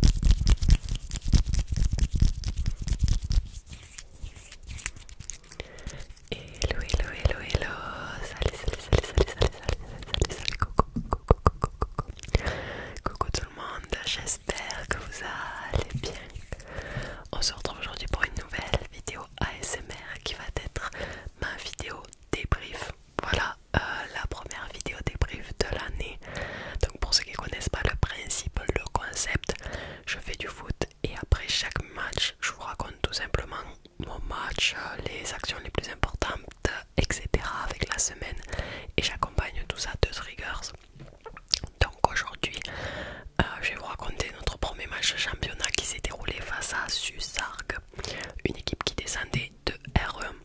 Hello, hello, hello, hello. Salut, salut, salut, salut, salut, salut, salut, salut, coucou, tout le monde, j'espère que vous allez bien. On se retrouve aujourd'hui pour une nouvelle vidéo ASMR qui va être ma vidéo débrief. Voilà euh, la première vidéo débrief de l'année donc pour ceux qui ne connaissent pas le principe, le concept, je fais du foot et après chaque match, je vous raconte tout simplement mon match, les actions les plus importantes, etc. avec la semaine et j'accompagne tout ça de triggers. Donc aujourd'hui, euh, je vais vous raconter notre premier match championnat qui s'est déroulé face à Suzark, une équipe qui descendait de R1.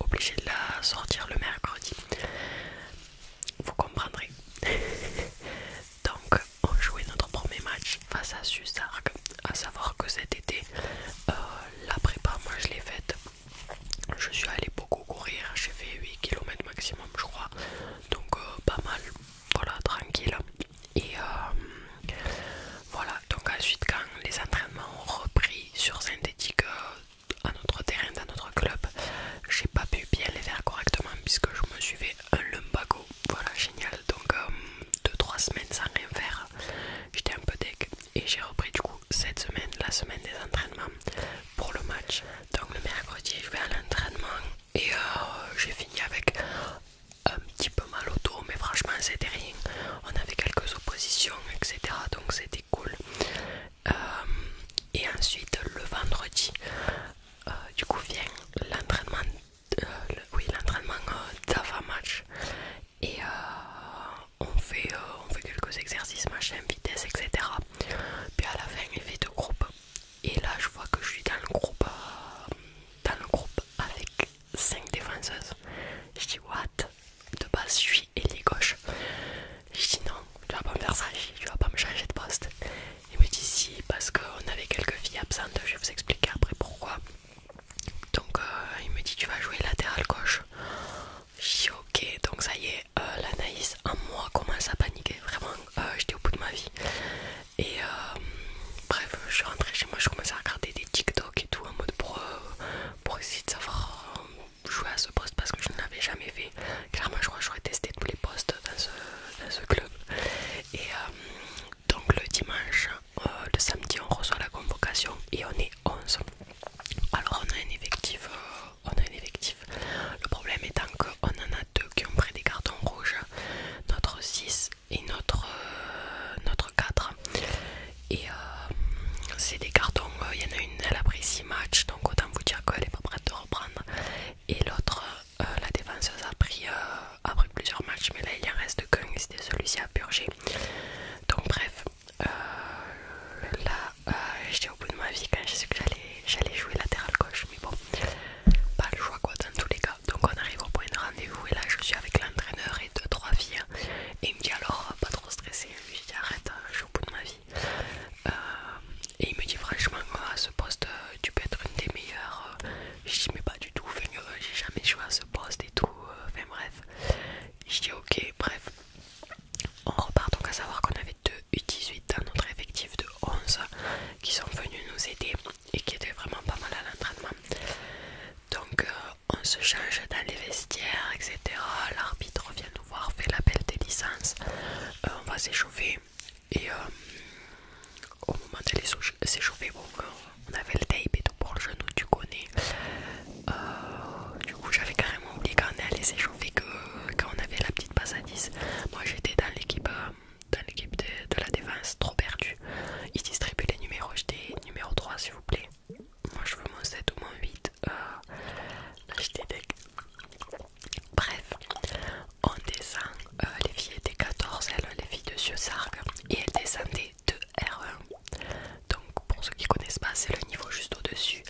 obligé de la sortir le mercredi. Vous comprendrez. Donc on jouait notre premier match face à Susarg. À savoir que cet été, euh, la prépa, moi je l'ai faite. Je suis allée beaucoup courir, j'ai fait 8 km maximum je crois. Donc euh, pas mal, voilà, tranquille. Et euh, voilà, donc ensuite quand les entraînements ont repris sur synthétique, à notre terrain dans notre club, j'ai pas pu bien les faire correctement puisque je me suis fait un lumbago. Voilà, génial. Donc 2-3 euh, semaines sans rien faire, j'étais un peu deg et j'ai repris du coup cette semaine, la semaine des entraînements pour le match. Donc le mercredi, je vais à l'entraînement et euh, j'ai fini avec un petit peu mal au dos, mais franchement, c'était rien. On avait quelques oppositions, etc. Donc c'était cool. Euh, et ensuite, le vendredi, euh, du coup, vient l'entraînement euh, oui, d'avant-match. Et on, fait, on fait quelques exercices, machin, vitesse, etc. Puis à la fin, il fait de groupe. Et là, je vois que je suis dans le groupe, dans le groupe avec 5 défenseuses. Je dis, what de base je suis les gauche. J'ai dit non, tu vas pas me faire ça, tu vas pas me changer de poste. Il me dit si, parce qu'on avait quelques filles absentes, je vais vous expliquer après pourquoi. Donc euh, il me dit tu vas jouer latéral gauche. J'ai dit ok, donc ça y est, l'anaïs euh, l'analyse en moi commence à paniquer, vraiment, euh, j'étais au bout de ma vie. Et bref, je suis rentrée chez moi, je commençais à regarder des TikTok et tout en mode pour essayer de savoir jouer à ce poste parce que je ne l'avais jamais fait. Clairement, je crois que j'aurais testé tous les postes dans ce, club. Et euh, donc, le dimanche, euh, le samedi, on reçoit la convocation et on est 11. Alors, on a un effectif. Euh, on a un effectif. Le problème étant qu'on en a deux qui ont pris des cartons rouges, notre 6 et notre, notre 4. Et euh, c'est des cartons, euh, il y en a une, elle a pris 6 matchs, donc autant vous dire qu'elle n'est pas prête de reprendre. Et l'autre, euh, la défenseuse a pris, plusieurs matchs, mais là il en reste qu'un, c'était celui-ci à purger. Donc bref, là j'étais au bout de ma vie quand j'ai su que j'allais jouer latéral gauche, mais bon, pas le choix quoi dans tous les cas. Donc on arrive au point de rendez-vous et là je suis avec l'entraîneur de trois filles hein. et il me dit alors pas trop stressé, je lui arrête, euh, je suis au bout de ma vie. Euh, et il me dit franchement à ce poste euh, tu peux être une des meilleures. Je dis mais pas du tout, j'ai jamais joué à ce poste et tout, enfin bref. Je dis ok, bref. On repart donc à savoir qu'on avait 2 U18 dans notre effectif de 11 qui sont venus nous aider et qui étaient vraiment pas mal à l'entraînement. Donc on se change dans les vestiaires, etc. L'arbitre vient nous voir, fait l'appel des licences, euh, on va s'échauffer et euh, au moment les s'échauffer, euh, on avait le tape et tout pour le genou, tu connais. du coup, j'avais carrément oublié quand on allait s'échauffer que quand on avait la petite passe à 10. Moi j'étais dans l'équipe de, de la défense, trop perdue. Ils distribuent les numéros, j'étais numéro 3 s'il vous plaît. Moi je veux mon 7 ou mon 8. Bref, on descend. Euh, les filles étaient 14, elles, les filles de Cieux et elles descendaient de R1. Donc pour ceux qui connaissent pas, c'est le niveau juste au-dessus.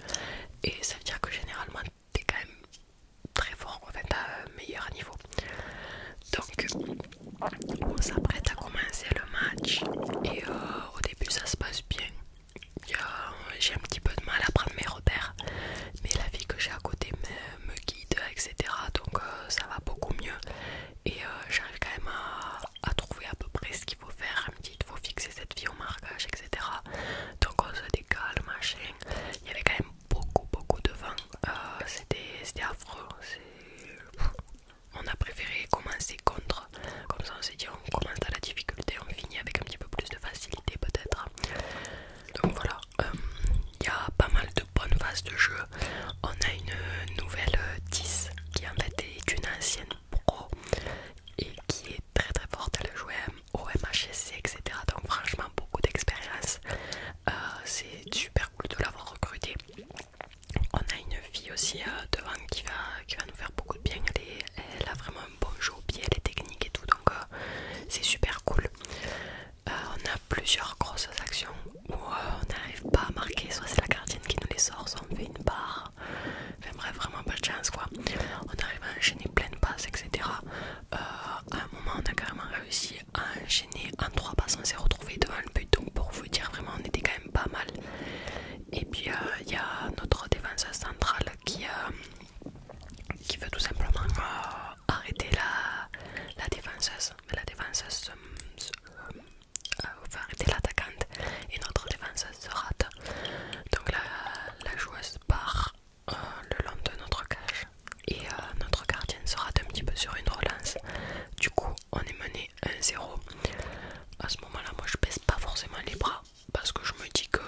Et ça veut dire que généralement t'es quand même très fort, enfin t'as un meilleur niveau. Donc on s'apprête à commencer le match et euh, au début ça se passe bien. Euh, j'ai un petit peu de mal à prendre mes repères, mais la vie que j'ai à côté me, guide, etc. Donc euh, ça va beaucoup mieux et euh, j'arrive quand même à, trouver à peu près ce qu'il faut faire. Un petit, il faut fixer cette vie au marquage, etc. Donc on se décale, machin. Il y avait quand même beaucoup, beaucoup de vent. C'était affreux on a préféré commencer contre. Comme ça, on s'est dit, on commence à la difficulté, on finit avec un petit peu plus de facilité, peut-être. Donc voilà, euh, il y a pas mal de bonnes phases de jeu. On a une nouvelle 10 qui en fait est une ancienne pro et qui est très très forte. le jouer au MHSC, etc. Donc, franchement, beaucoup d'expérience. Euh, c'est super cool de l'avoir recruté On a une fille aussi euh, devant qui va, nous faire beaucoup de bien. Elle, elle a vraiment un bon jeu au pied, elle est technique et tout, donc euh, c'est super cool. Euh, on a plusieurs grosses actions où on n'arrive pas à marquer, soit c'est la gardienne qui nous les sort, soit on fait une barre. Enfin vraiment pas de chance quoi. On arrive à enchaîner plein de passes, etc. à un moment, on a carrément réussi à enchaîner en trois passes, on s'est retrouvé devant le but. Donc pour vous dire, vraiment, on était quand même pas mal. Et puis euh, il y a notre défense centrale qui, euh, qui veut tout simplement euh, arrêter la, la mais La défenseuse arrêter l'attaquante et notre défenseuse se rate. Donc la, joueuse part le long de notre cage et notre gardienne se rate un petit peu sur une relance. Du coup, on est mené 1-0. À ce moment-là, moi je baisse pas forcément les bras parce que je me dis qu'on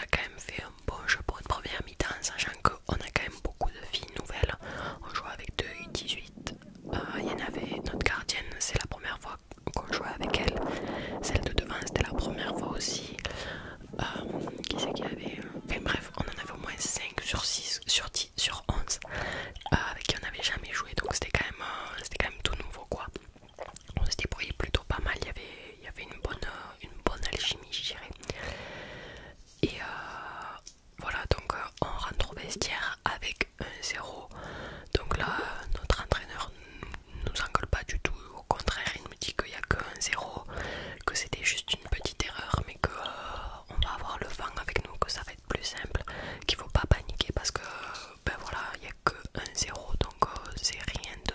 a quand même fait un bon jeu pour une première mi-temps, sachant qu'on a quand même beaucoup de filles nouvelles. On joue avec 2 18 euh, Il y en avait notre gardienne, c'est la première fois qu'on jouait avec elle. Celle de devant, c'était la première fois aussi. Euh, qui c'est qu'il avait euh, enfin, bref, on en avait au moins 5 sur 6, sur 10, sur 11 avec qui on n'avait jamais joué donc c'était quand même tout nouveau quoi on se débrouillait plutôt pas mal, il y avait, il y avait une, bonne, une bonne alchimie je dirais. Et euh, voilà, donc euh, on rentre au vestiaire avec un zéro. Donc là, notre entraîneur ne nous engueule pas du tout, au contraire il me dit qu'il n'y a qu'un zéro, que c'était juste une petite erreur mais que... Euh, on va avoir le vent avec nous, que ça va être plus simple, qu'il faut pas paniquer parce que ben voilà, il n'y a que 1-0, donc euh, c'est rien de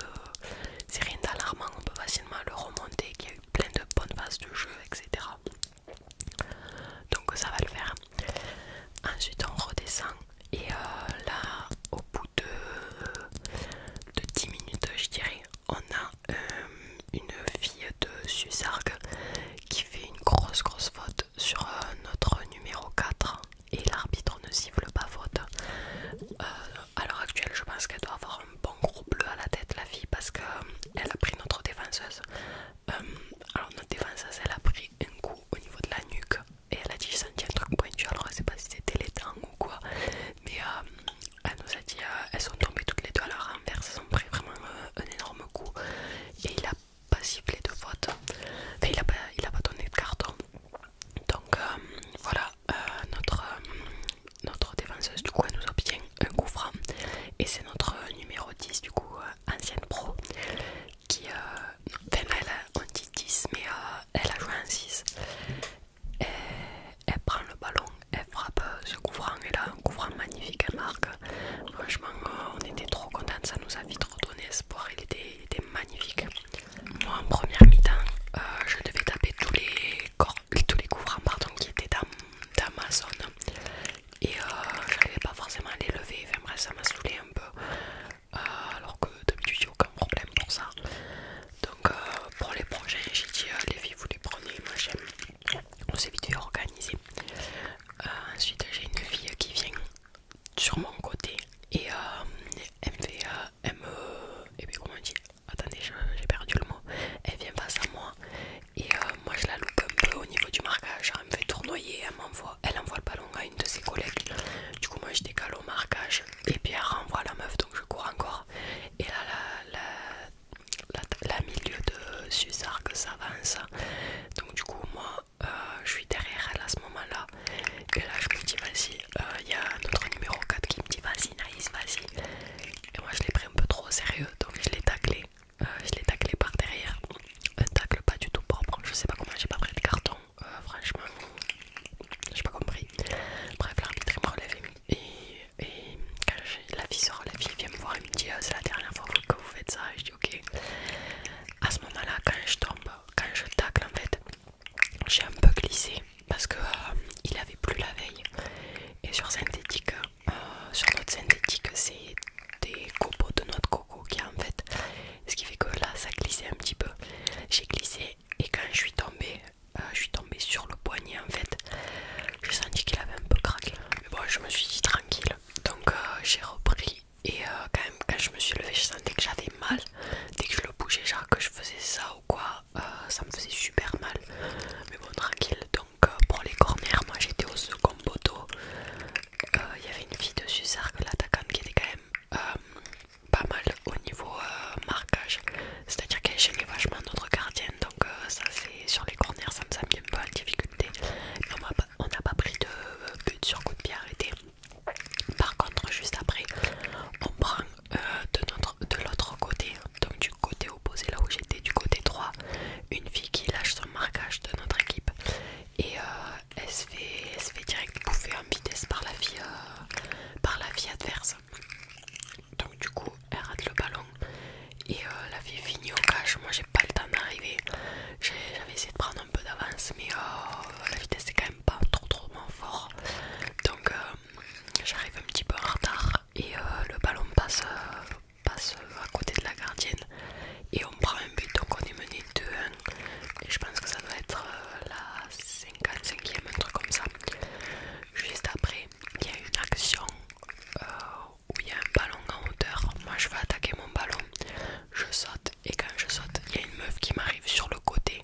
c'est rien d'alarmant, on peut facilement le remonter, qu'il y a eu plein de bonnes phases de jeu, etc. Donc ça va le faire. Ensuite on redescend et euh, là au bout de, de 10 minutes je dirais on a euh, une fille de Susargue qui fait une grosse grosse faute sur euh, notre numéro 4 et l'arbitre ne siffle pas faute. Euh, à l'heure actuelle, je pense qu'elle doit avoir un bon gros bleu à la tête, la fille, parce qu'elle euh, elle a pris notre défenseuse. alors, notre défenseuse, elle a pris un coup au niveau de la nuque et elle a dit J'ai senti un truc pointu. Alors, je sais pas si c'était les dents ou quoi, mais elle nous a dit Elles sont tombées toutes les deux à la elles ont pris vraiment un énorme coup et il a pas sifflé de faute. il n'a pas, donné de carton. Donc euh, voilà, euh, notre, notre défenseuse du coup nous obtient un couvrant et c'est notre numéro 10 du coup euh, ancienne pro qui, elle on dit 10 mais elle a joué en 6 elle prend le ballon, elle frappe ce couvrant et là un couvrant magnifique elle marque. Franchement on était trop contente, ça nous a vite redonné espoir, il il était magnifique. Moi en première mi-temps, euh, je devais taper tous les couvrants qui étaient dans, ma zone et je euh, j'arrivais pas forcément à les lever, j'aimerais ça m'a saoulé un peu euh, alors que d'habitude j'ai aucun problème pour ça. Donc pour les prochains j'ai dit les filles vous les prenez, j'aime On s'est vite organisé ensuite j'ai une fille qui vient sur mon côté et euh, elle me fait euh, elle me et eh puis on dit attendez j'ai perdu le mot elle vient face à moi et euh, moi je la loupe un peu au niveau du marquage elle me fait tournoyer elle m'envoie elle envoie le ballon à une de ses collègues du coup moi je décale au marquage et puis elle renvoie la meuf donc je cours encore et là la, la la, milieu de ça s'avance donc du coup moi euh, je suis derrière elle à ce moment là et là je me dis vas-y il euh, y a notre numéro 4 qui me dit vas-y nice vas-y et moi je l'ai pris un peu trop sérieux donc je l'ai taclé euh, je l'ai taclé par derrière un tacle pas du tout propre je sais pas comment j'ai pas pris de carton franchement j'ai pas compris bref l'arbitre me relève et, quand la fille se relève vient me voir et me dit ah, c'est la dernière fois que vous faites ça je dis ok à ce moment là quand je tombe quand je tacle en fait j'ai un peu glissé parce que euh, il avait plu la veille et sur synthétique euh, sur notre synthétique c'est des copeaux de noix de coco qui en fait ce qui fait que là ça glissait un petit peu j'ai glissé et quand je suis tombée euh, je suis tombée sur le poignet en fait j'ai senti qu'il avait un peu craqué mais bon je me suis dit tranquille donc j'ai repris et euh, quand même quand je me suis levée je sentais que j'avais mal dès que je le bougeais genre que je faisais ça ou quoi euh, ça me faisait super mal mais bon tranquille donc euh, pour les corners moi j'étais au second poteau il y avait une fille de Suzark, l'attaquante qui était quand même pas mal au niveau marquage c'est à dire qu'elle gênait vachement notre gardienne donc ça c'est sur les corners ça me semble un peu en difficulté on n'a pas, pas pris de but sur coup de pied arrêté par contre, juste après, on prend euh, de l'autre côté, donc du côté opposé, là où j'étais, du côté droit, une fille qui lâche son marquage de notre équipe et euh, elle, se fait, direct bouffer en vitesse par la fille, euh, par la adverse. Donc du coup, elle rate le ballon et la fille finit au cache. Moi, j'ai pas le temps d'arriver. J'avais essayé de prendre un peu d'avance, mais oh, la vitesse est quand même pas trop trop fort donc euh, j'arrive un petit peu en retard et euh, le ballon passe, euh, passe à côté de la gardienne et on prend un but donc on est mené 2-1 et je pense que ça doit être la 55ème un truc comme ça juste après il y a une action où il y a un ballon en hauteur moi je vais attaquer mon ballon je saute et quand je saute il y a une meuf qui m'arrive sur le côté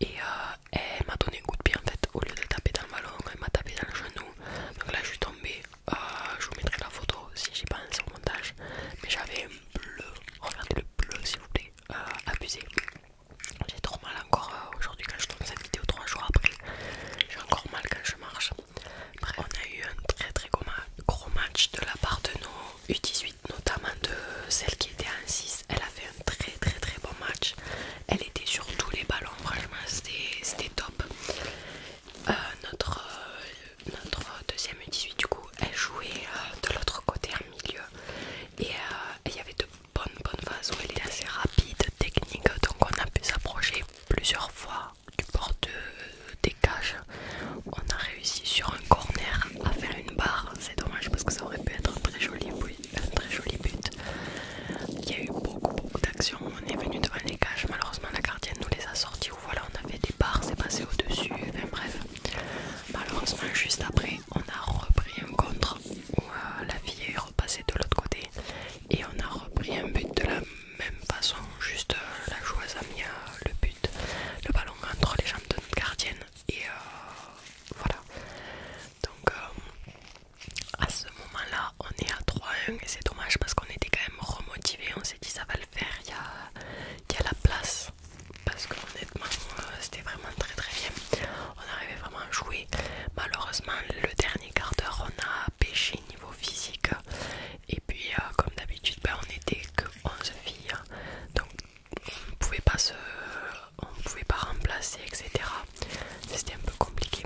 et euh, elle m'a donné un coup de pied en fait au lieu de taper dans le ballon elle m'a tapé dans le genou donc là je suis tombée euh, je vous mettrai la photo si j'ai pas un montage mais j'avais un bleu regardez le bleu s'il vous plaît euh, abusé j'ai trop mal encore aujourd'hui quand je tourne cette vidéo 3 jours après j'ai encore mal quand je marche après on a eu un très très gros match de la part de nos U18 notamment de celle qui était en 6. Elle a fait un très très très bon match. Elle était sur tous les ballons, franchement, c'était top. Euh, notre, euh, notre deuxième 18 du coup, elle jouait euh, de l'autre côté en milieu. Et il y avait de bonnes bonnes phases où elle était assez rapide, technique, donc on a pu s'approcher plusieurs fois du bord des cages. On a réussi sur un corner à faire une barre c'est dommage parce que ça aurait pu être un très joli, un très joli but. Il y a eu beaucoup, beaucoup d'actions. On est venu devant les cages, malheureusement la gardienne nous les a sortis. ou voilà, on avait des barres, c'est passé au-dessus. Enfin bref, malheureusement, juste après, on a repris un contre euh, la vie est repassée de l'autre côté et on a repris un but de la même façon. Juste euh, la joueuse a mis euh, le but, le ballon entre les jambes de notre gardienne et euh, voilà donc euh, à ce moment là on est à 3-1 et c'est dommage parce qu'on était quand même remotivé on s'est dit ça va le faire il y a, la place parce que honnêtement euh, c'était vraiment très très bien on arrivait vraiment à jouer malheureusement le dernier quart d'heure on a pêché niveau physique et puis comme d'habitude ben, on était que 11 filles donc on pouvait pas se, on pouvait pas remplacer, etc. C'était un peu compliqué.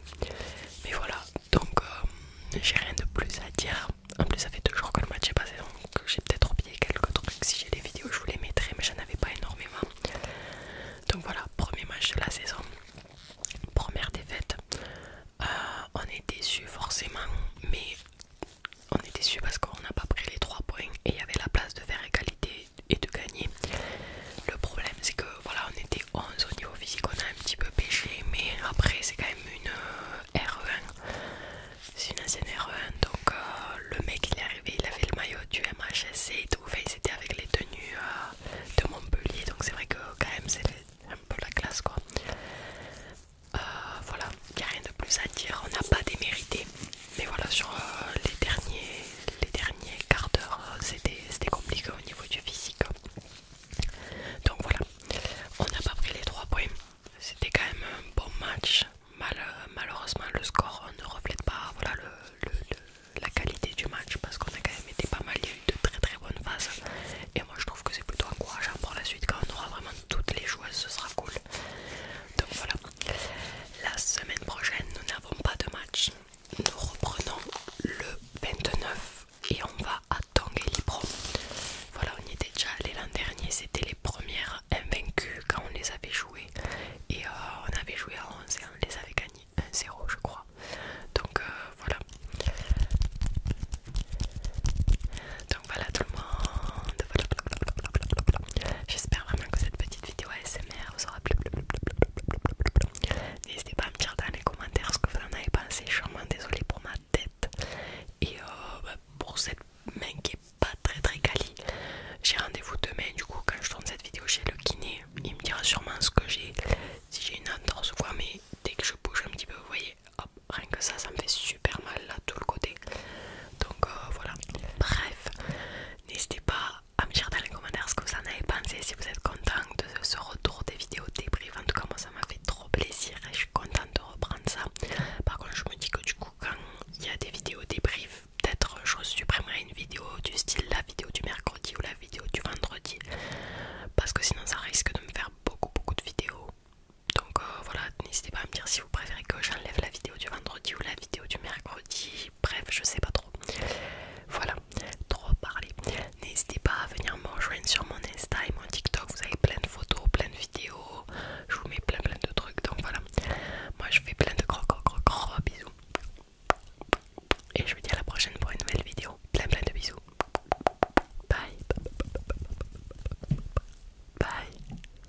Mais voilà, donc euh, j'ai rien de plus à dire. En plus, ça fait deux jours que le match est passé, donc j'ai peut-être oublié quelques trucs. Si j'ai des vidéos, je vous les mettrai, mais j'en avais pas énormément. Donc voilà, premier match de la saison, première défaite. Euh, on est déçu forcément, mais on est déçu parce qu'on n'a pas pris les 3 points et il y avait la place de faire égalité et de gagner. Le problème c'est que voilà on était 11 au niveau physique, on a un petit peu pêché mais après c'est quand même une euh, RE1, c'est une ancienne RE1 donc euh, le mec il est arrivé, il avait le maillot du MHSC et tout, fait c'était avec les tenues euh, de Montpellier donc c'est vrai que quand même c'est un peu la classe quoi. voilà, il n'y a rien de plus à dire, on n'a pas démérité. Mais voilà, sur euh, les derniers, les derniers quarts d'heure, euh, c'était compliqué au niveau du physique. Donc voilà, on n'a pas pris les 3 points. C'était quand même un bon match. Euh, malheureusement, le score ne reflète pas voilà, la qualité du match parce qu'on a quand même été pas mal. Il y a eu de très très bonnes phases. Et moi, je trouve que c'est plutôt encourageant pour la suite. Quand on aura vraiment toutes les joueuses, ce sera cool. Donc voilà, la semaine prochaine, nous n'avons pas de match. Nous reprenons le 29 et on va à Pro. Voilà, on y était déjà allé l'an dernier. C'était les premières invaincues quand on les avait jouées. Et euh, on avait joué à 11 et on les avait gagnées 1-0, je crois. Donc euh, voilà voilà tout le monde. J'espère vraiment que cette petite vidéo ASMR vous aura plu. N'hésitez pas à me dire dans les commentaires ce que vous en avez pensé. Je suis vraiment désolée pour ma tête et euh, bah, pour cette main qui est pas très très quali. J'ai rendez-vous demain. Du coup, quand je tourne cette vidéo chez le kiné, il me dira sûrement ce que j'ai. Si j'ai une entorse ou mais dès que je bouge un petit peu, vous voyez, rien que ça, ça me fait super super mal là tout le côté donc euh, voilà bref n'hésitez pas à me dire dans les commentaires ce que vous en avez pensé si vous êtes content de ce retour des vidéos débrief en tout cas moi ça m'a fait trop plaisir et je suis contente de reprendre ça par contre je me dis que du coup quand il y a des vidéos débrief peut-être je supprimerai une vidéo du style la vidéo du mercredi ou la vidéo du vendredi parce que sinon ça risque de me faire beaucoup beaucoup de vidéos donc euh, voilà n'hésitez pas à me dire si vous préférez que j'enlève la vidéo du vendredi ou la vidéo du mercredi, bref, je sais pas trop. Voilà, trop parler. N'hésitez pas à venir me rejoindre sur mon Insta et mon TikTok, vous avez plein de photos, plein de vidéos, je vous mets plein plein de trucs, donc voilà. Moi je fais plein de gros gros gros gros bisous. Et je vous dis à la prochaine pour une nouvelle vidéo. Plein plein de bisous. Bye. Bye.